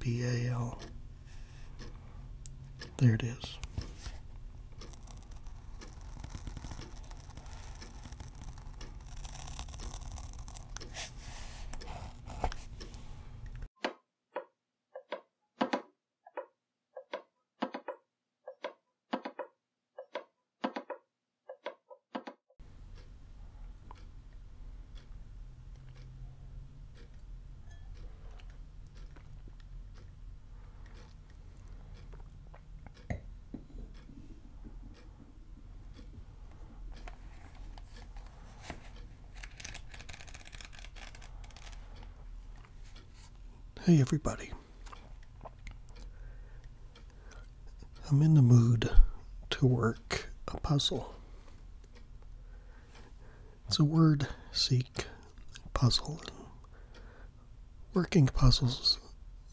BAL. There it is. Hey, everybody. I'm in the mood to work a puzzle. It's a word seek puzzle. Working puzzles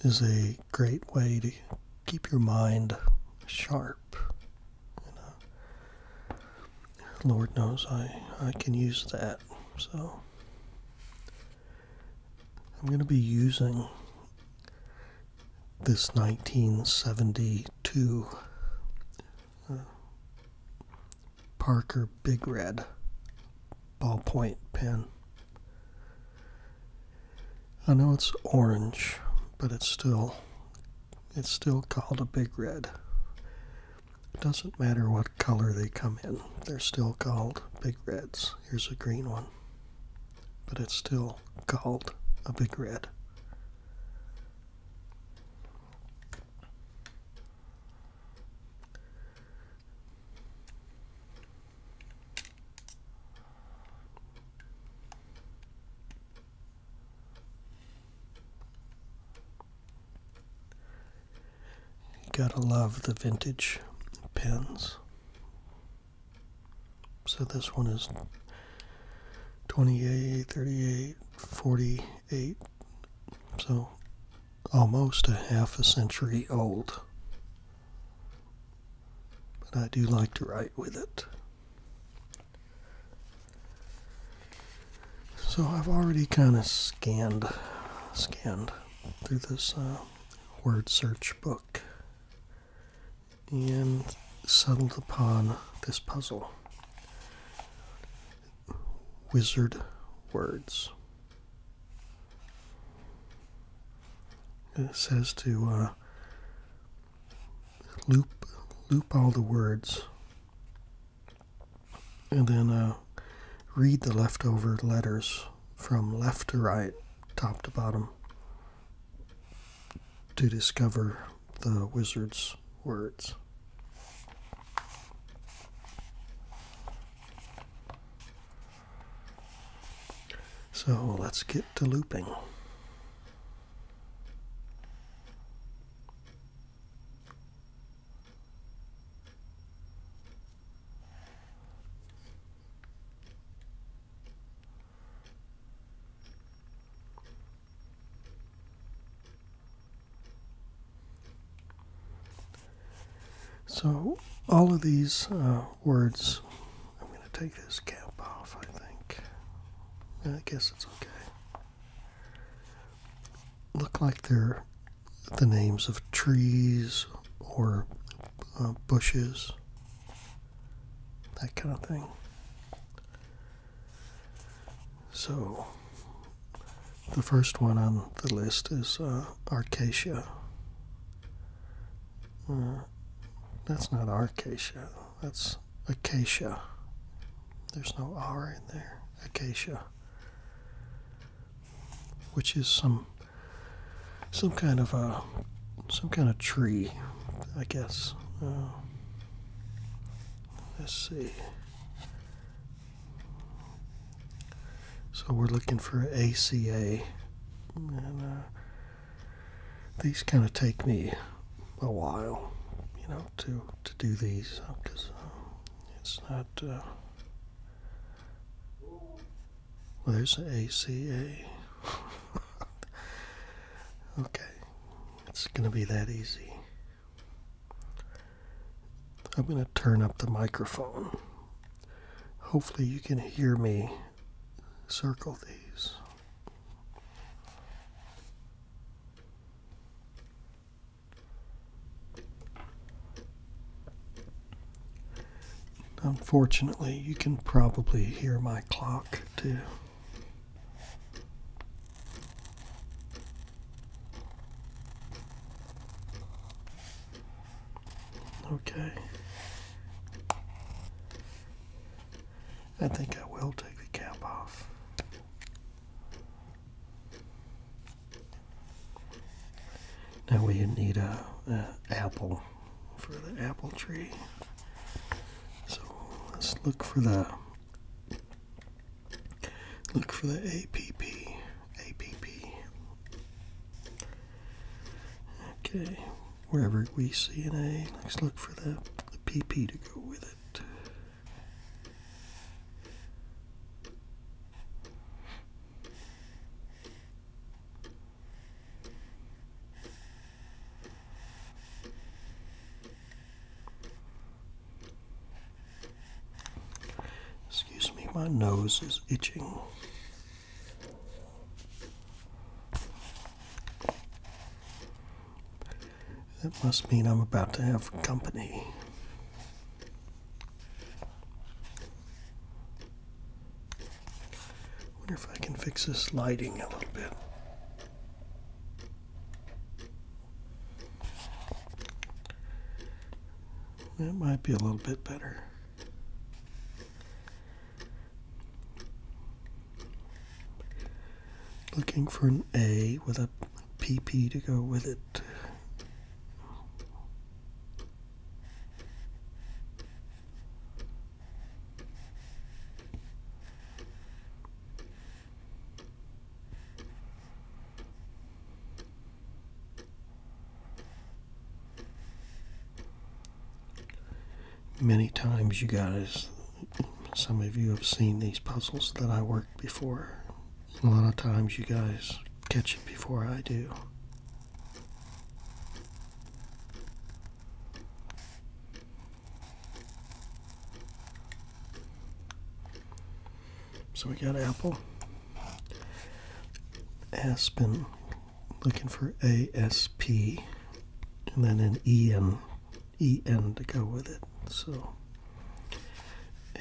is a great way to keep your mind sharp. Uh, Lord knows I, I can use that. So I'm going to be using this 1972 uh, Parker Big Red ballpoint pen. I know it's orange, but it's still it's still called a big red. doesn't matter what color they come in, they're still called big reds. Here's a green one, but it's still called a big red. You gotta love the vintage pens. So this one is 28, 38, 48. So almost a half a century old. But I do like to write with it. So I've already kind of scanned, scanned through this uh, word search book and settled upon this puzzle Wizard Words. It says to uh, loop loop all the words and then uh, read the leftover letters from left to right, top to bottom to discover the wizard's words. So let's get to looping. So, all of these uh, words, I'm going to take this cap off, I think. I guess it's okay. Look like they're the names of trees or uh, bushes, that kind of thing. So, the first one on the list is uh, uh, that's not Arcacia, that's Acacia. There's no R in there. Acacia. Which is some some kind of a some kind of tree, I guess. Uh, Let's see. So we're looking for ACA. And uh, these kind of take me a while, you know, to, to do these because uh, um, it's not. Uh, there's an ACA. okay. It's going to be that easy. I'm going to turn up the microphone. Hopefully, you can hear me circle these. Unfortunately, you can probably hear my clock too. Okay. I think I will take the cap off. Now we need a, apple for the apple tree. So let's look for the Look for the APP. Okay, wherever we see an A, let's look for the, the PP to go with it. Excuse me, my nose is itching. That must mean I'm about to have company. Wonder if I can fix this lighting a little bit. That might be a little bit better. Looking for an A with a PP to go with it. Many times, you guys, some of you have seen these puzzles that I worked before. A lot of times, you guys catch it before I do. So we got Apple, Aspen, looking for ASP, and then an EN, EN to go with it. So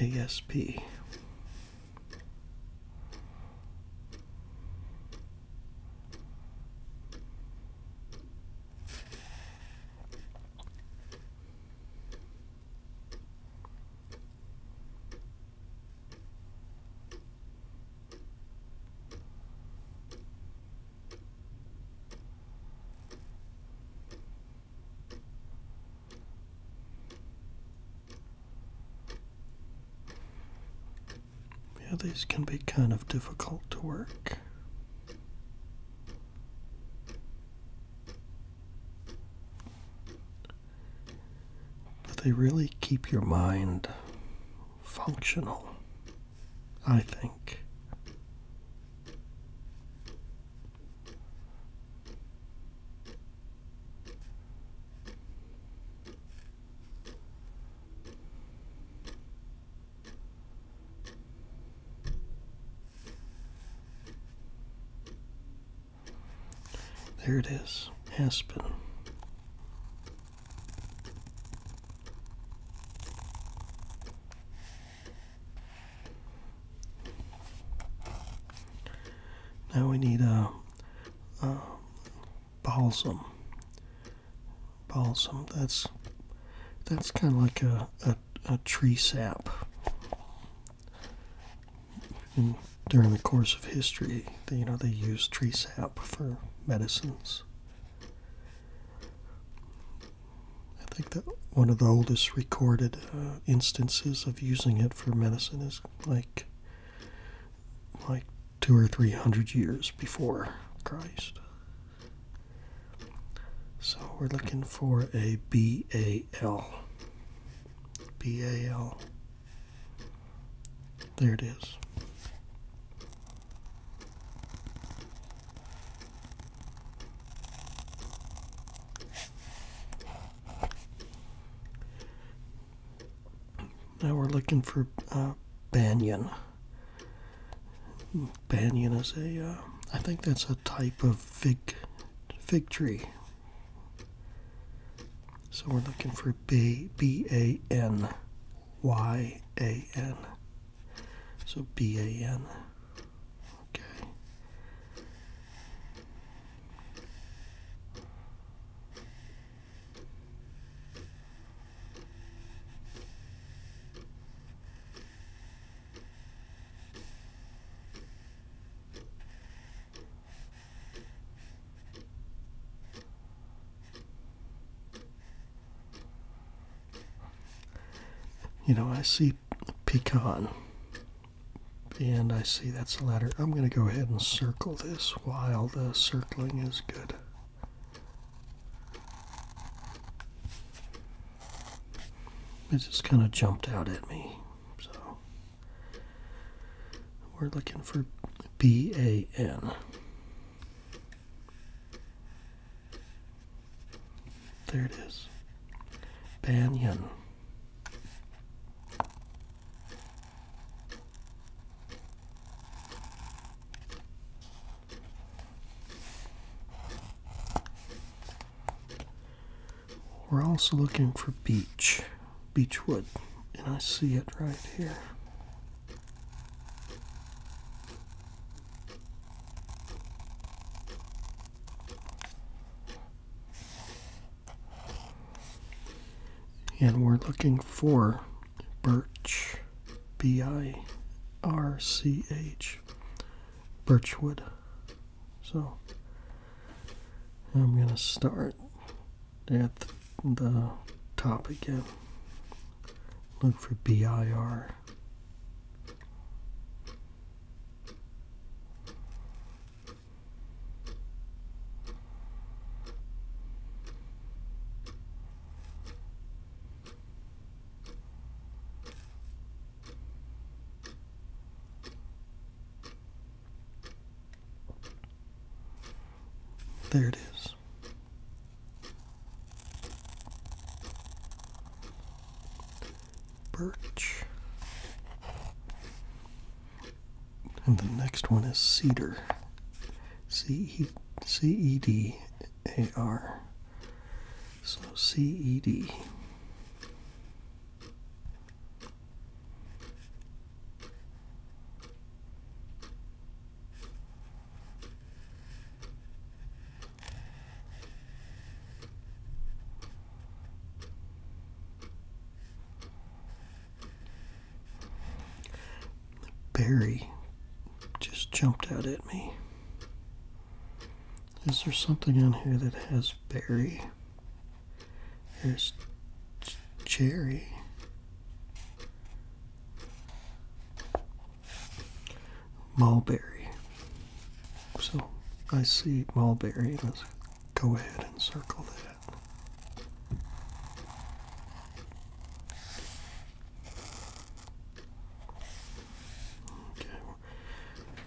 ASP. Yeah, these can be kind of difficult to work. They really keep your mind functional, I think. There it is, Aspen. Now we need a, uh, uh, balsam. Balsam. That's that's kind of like a a tree sap and during the course of history you know they used tree sap for medicines i think that one of the oldest recorded uh, instances of using it for medicine is like like two or three hundred years before christ so we're looking for a B A L. B A L. There it is. Now we're looking for uh, Banyan banyan is a. Uh, I think that's a type of fig, fig tree. So we're looking for B B A N Y A N. So B A N. Okay. You know, I see pecan, and I see that's a letter. I'm going to go ahead and circle this while the circling is good. It just kind of jumped out at me. So we're looking for B A N. There it is. Banyan. We're also looking for beech, beechwood, and I see it right here. And we're looking for birch, B I R C H birchwood. So I'm going to start at the top again. Look for BIR. There it is. Birch. And the next one is cedar. C E C E D A R. So CED. Barry just jumped out at me. Is there something on here that has berry? There's cherry. Mulberry. So I see mulberry. Let's go ahead and circle that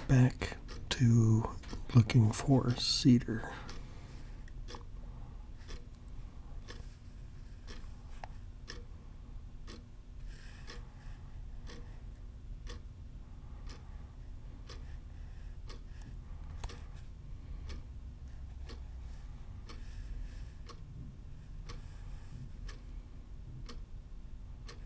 back to looking for cedar.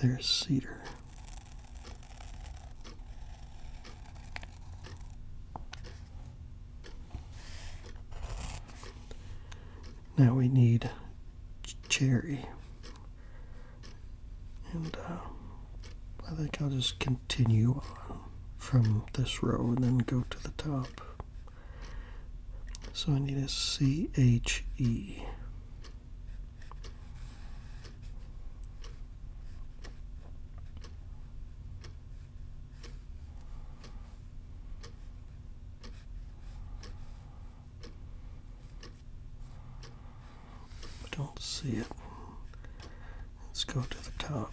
There's cedar. Now we need cherry. And uh, I think I'll just continue on from this row and then go to the top. So I need a C-H-E. I don't see it. Let's go to the top.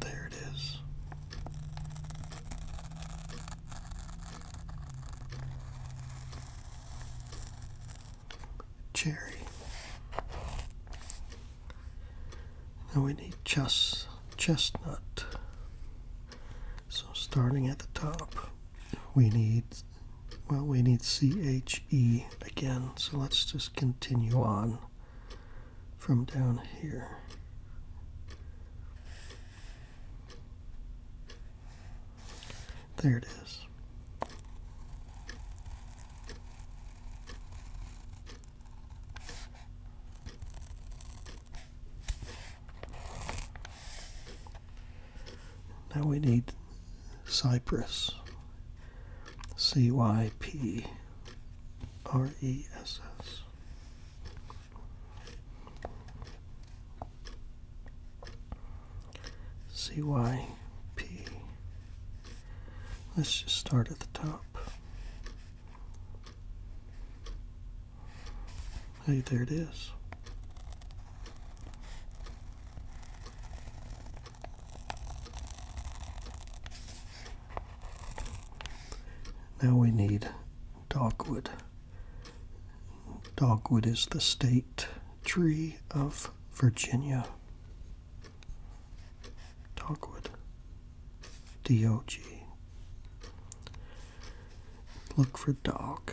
There it is. Cherry. Now we need chest, chestnut. So starting at the top, we need, well, we need CHE again. So let's just continue on from down here. There it is. Now we need Cyprus. C Y P R E S S. CYP. Let's just start at the top. Hey, there it is. Now we need dogwood. Dogwood is the state tree of Virginia. Dogwood. D-O-G. Look for dog.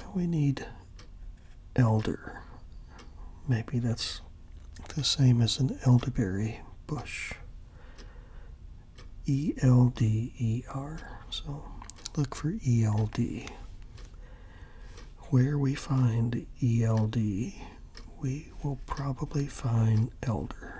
Now we need elder. Maybe that's the same as an elderberry bush. E L D E R. So look for E L D. Where we find E L D we will probably find elder.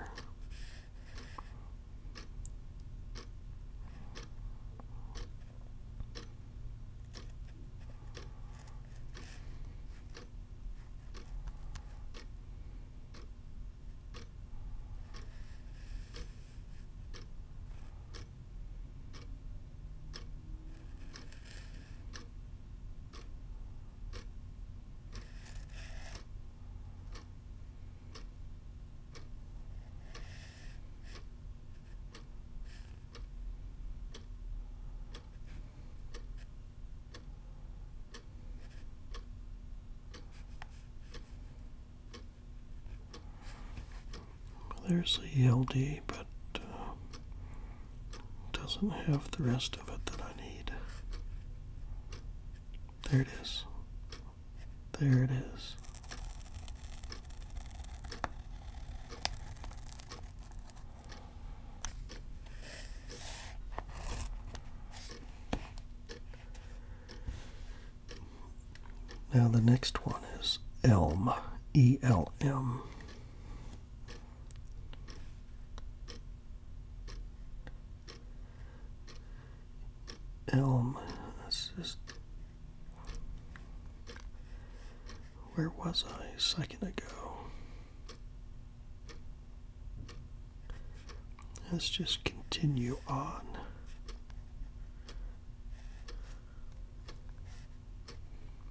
There's the ELD, but uh, doesn't have the rest of it that I need. There it is. There it is. Now the next one is Elm, E L M. Elm. Where was I a second ago? Let's just continue on.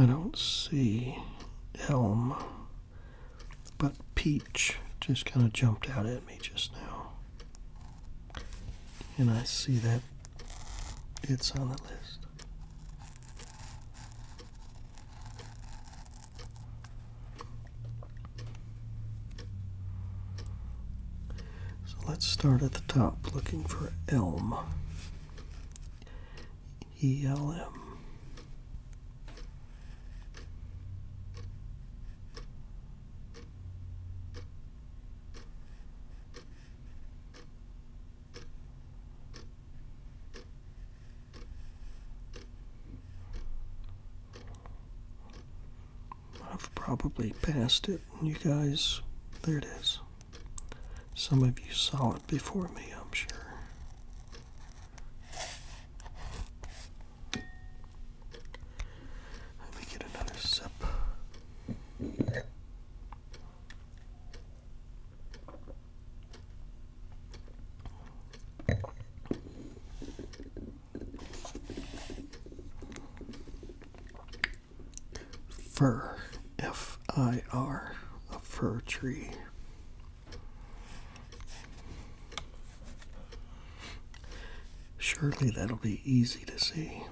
I don't see elm, but peach just kind of jumped out at me just now and I see that it's on the list. So let's start at the top looking for Elm. E L M. I've probably passed it. You guys, there it is. Some of you saw it before me, I'm sure. Let me get another sip. Fir, F I R, a fir tree. Surely that'll be easy to see.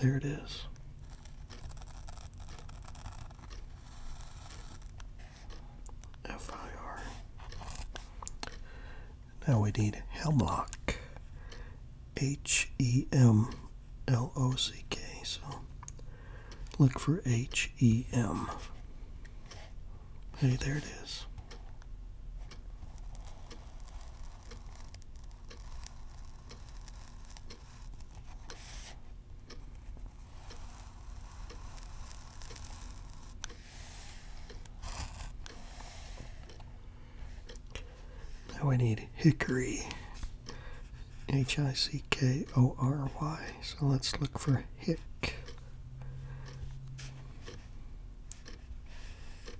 There it is. FIR. Now we need hemlock. H E M L O C K. So look for H E M. Hey, there it is. Now I need hickory, H I C K O R Y. So let's look for hick.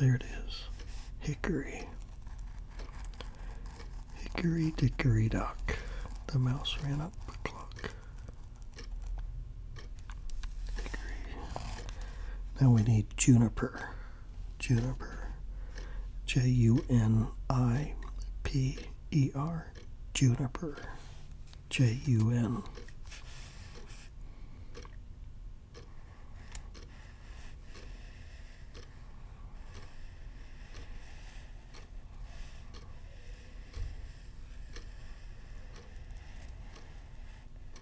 There it is. Hickory. Hickory dickory dock. The mouse ran up the clock. Now we need juniper. Juniper. J U N I P E R. Juniper. J U N.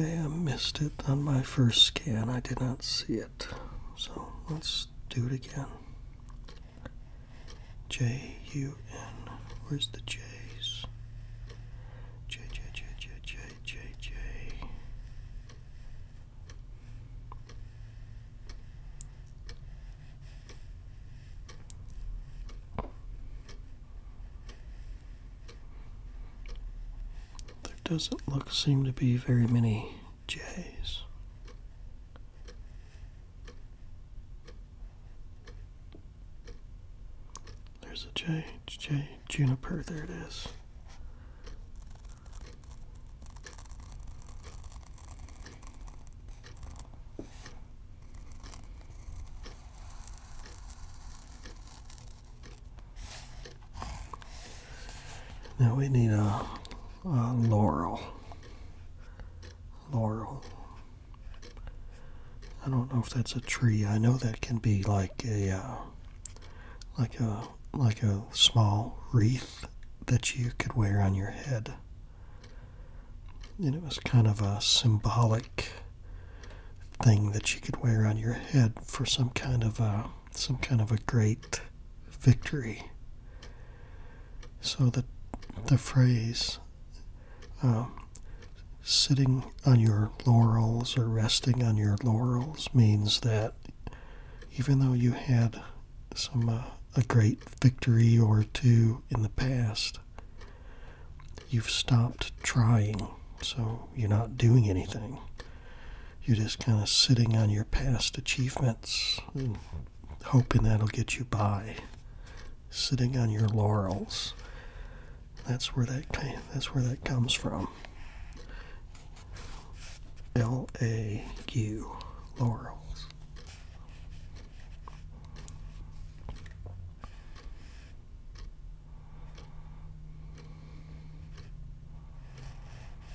Okay, I missed it on my first scan. I did not see it. So let's do it again. J U N. Where's the J's? J J J J J J J. There doesn't look seem to be very many J's. There's a J, J, Juniper, there it is. Now we need a, laurel. Laurel. I don't know if that's a tree. I know that can be like a uh, like a like a small wreath that you could wear on your head. And it was kind of a symbolic thing that you could wear on your head for some kind of a some kind of a great victory. So that the phrase um, sitting on your laurels or resting on your laurels means that even though you had some uh, a great victory or two in the past, you've stopped trying, so you're not doing anything you're just kind of sitting on your past achievements and hoping that'll get you by sitting on your laurels that's where that that's where that comes from L A U laurels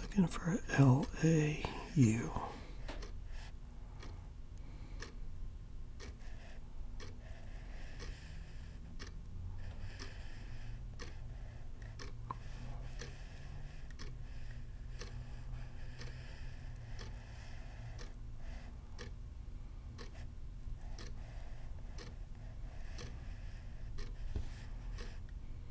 Looking for L A U.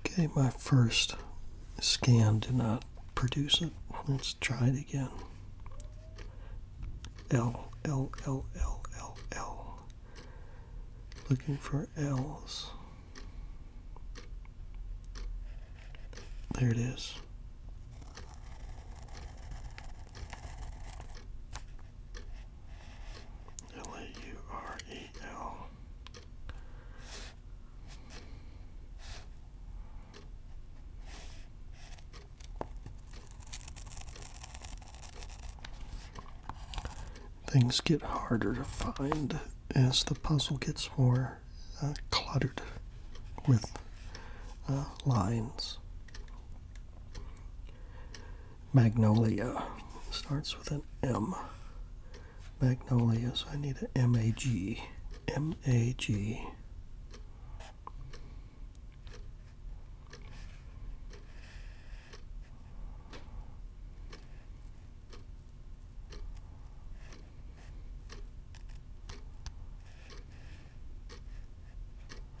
Okay, my first scan did not produce it. Let's try it again. L, L, L, L, L, L. Looking for L's. There it is. L A U R E L. Things get harder to find as the puzzle gets more uh, cluttered with uh, lines. Magnolia. Starts with an M. Magnolia, so I need an M A G. M A G.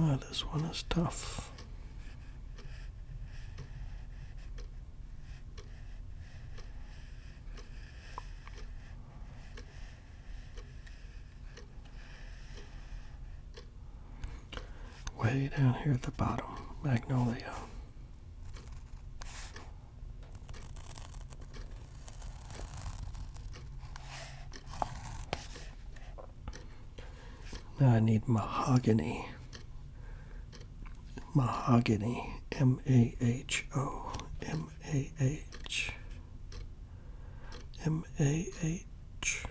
Oh, this one is tough. Way down here at the bottom, Magnolia. Now I need mahogany. Mahogany. M A H O. M A H. M A H.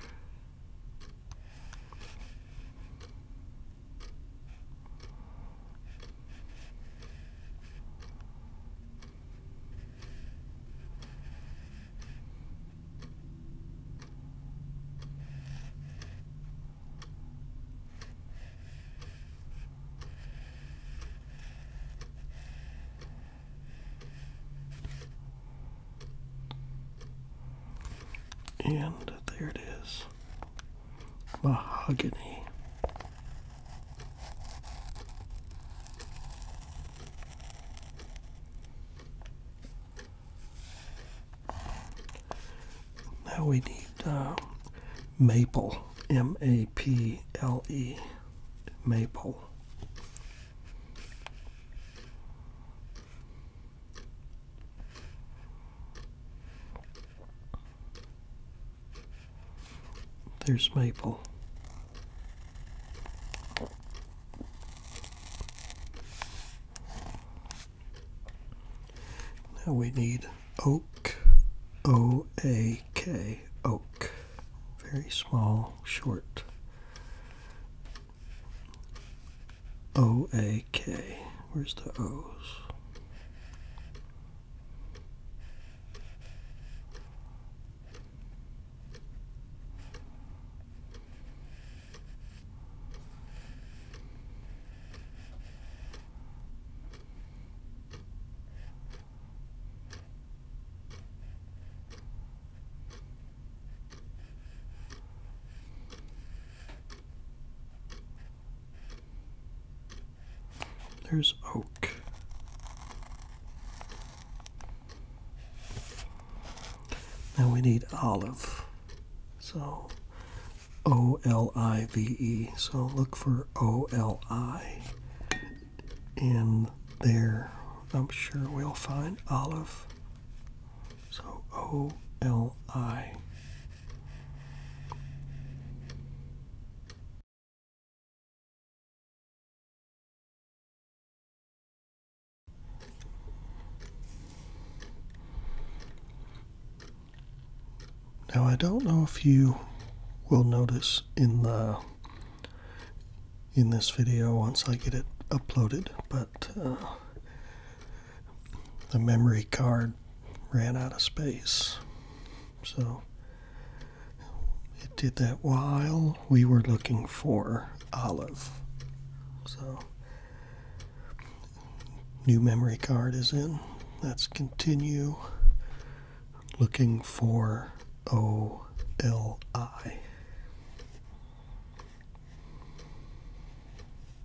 And there it is mahogany. Now we need uh, maple, M A P L E, maple. There's maple. Now we need oak, O A K, oak. Very small, short. O A K. Where's the O's? There's oak. Now we need olive. So O L I V E. So look for O L I. in there, I'm sure we'll find olive. So O L I. Now, I don't know if you will notice in the in this video once I get it uploaded, but uh, the memory card ran out of space. So it did that while we were looking for Olive. So new memory card is in. Let's continue looking for OLI.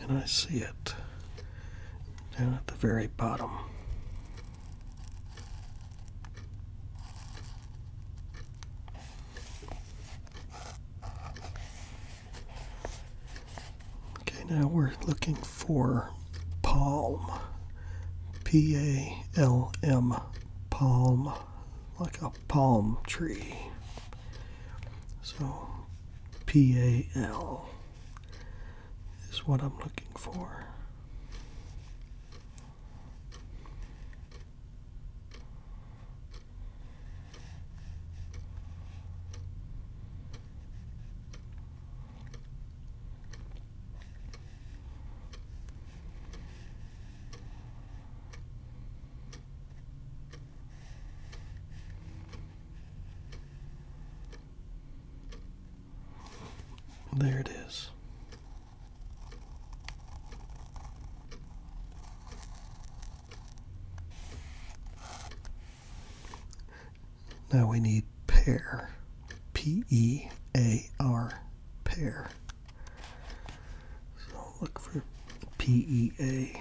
And I see it down at the very bottom. Okay, now we're looking for palm. P A L M, palm like a palm tree. So P A L is what I'm looking for. There it is. Now we need pair. P E A R, pair. So look for PEA.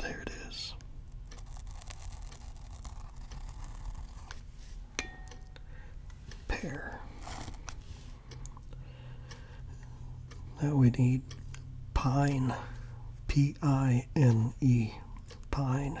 There it is. Pear. Now we need pine. P I N E. Pine.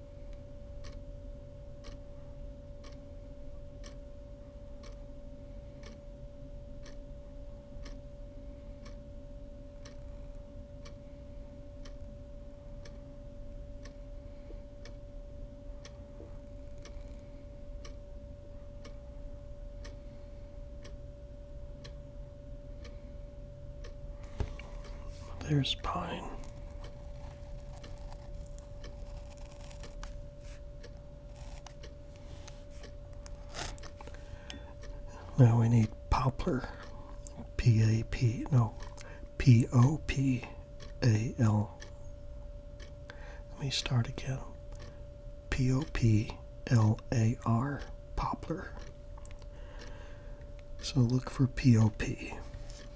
There's pine. Now we need poplar. P A P, no, P O P A L. Let me start again. P O P L A R, poplar. So look for P O P.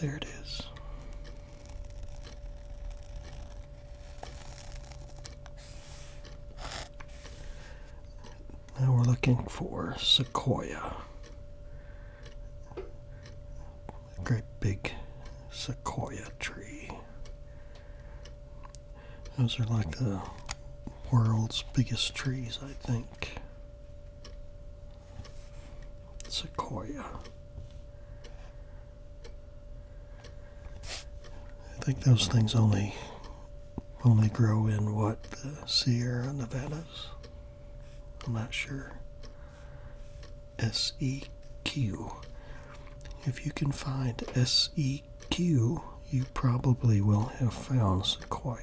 There it is. Now we're looking for sequoia. great big sequoia tree. Those are like the world's biggest trees, I think. Sequoia. I think those things only only grow in what the Sierra Nevadas. I'm not sure. SEQ. If you can find SEQ, you probably will have found Sequoia.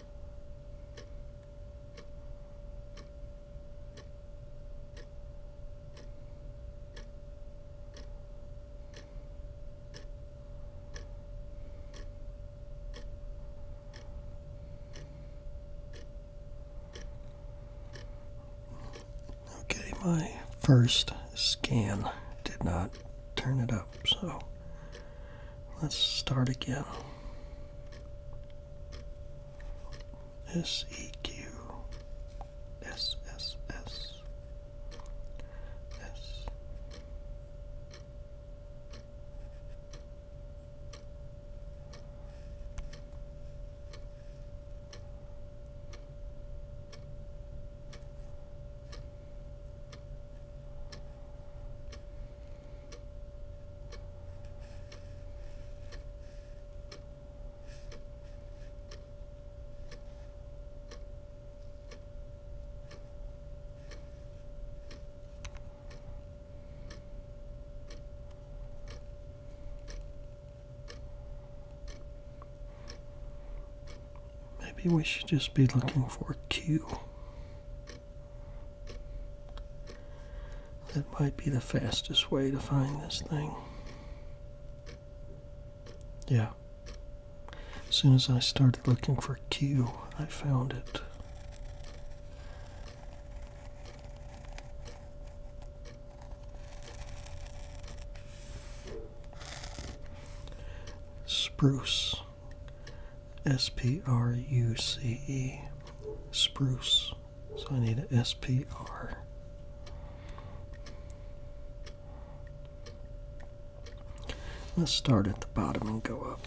Okay, my first scan did not turn it up, so Let's start again. S E Q S S S S Maybe we should just be looking for Q. That might be the fastest way to find this thing. Yeah. As soon as I started looking for Q, I found it. Spruce. S P R U C E. Spruce. So I need a S P R. Let's start at the bottom and go up.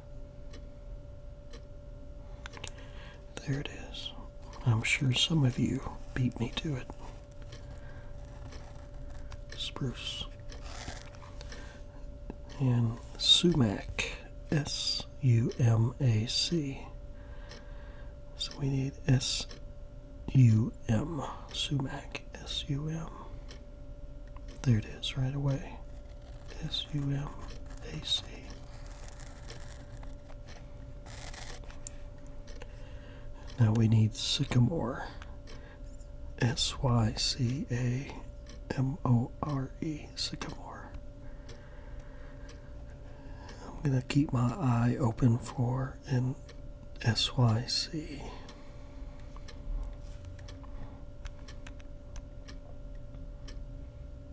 There it is. I'm sure some of you beat me to it. Spruce. And sumac. S U M A C. So we need S U M. Sumac. S U M. There it is right away. S-U-M-A-C. Now we need sycamore. S-Y-C-A-M-O-R-E, sycamore. I'm going to keep my eye open for an SYC.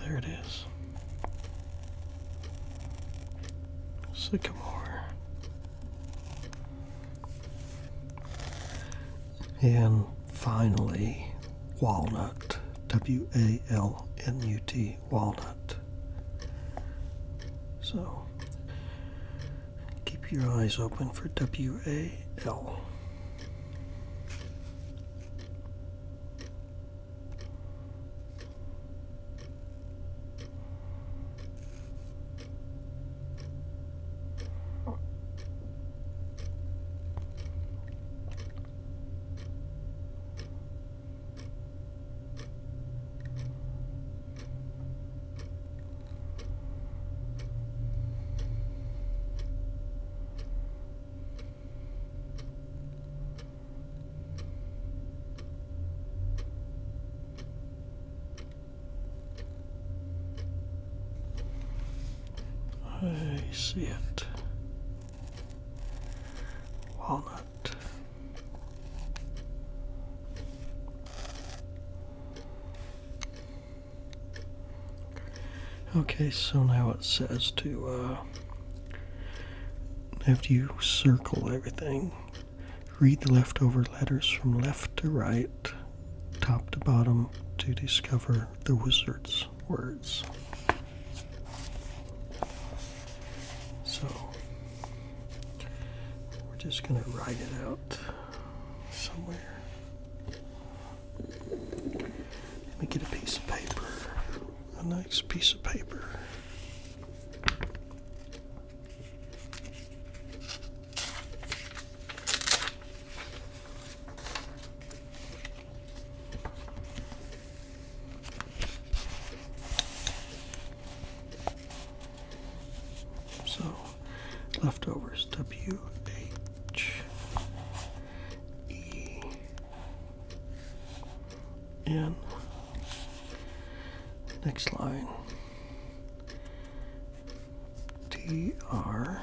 There it is. Sycamore. And finally, walnut. W A L N U T walnut. So keep your eyes open for WAL. I see it. Walnut. Okay, so now it says to uh, after you circle everything, read the leftover letters from left to right, top to bottom, to discover the wizard's words. So we're just going to write it out somewhere. Let me get a piece of paper, a nice piece of paper. So, leftovers W H E N. Next line T R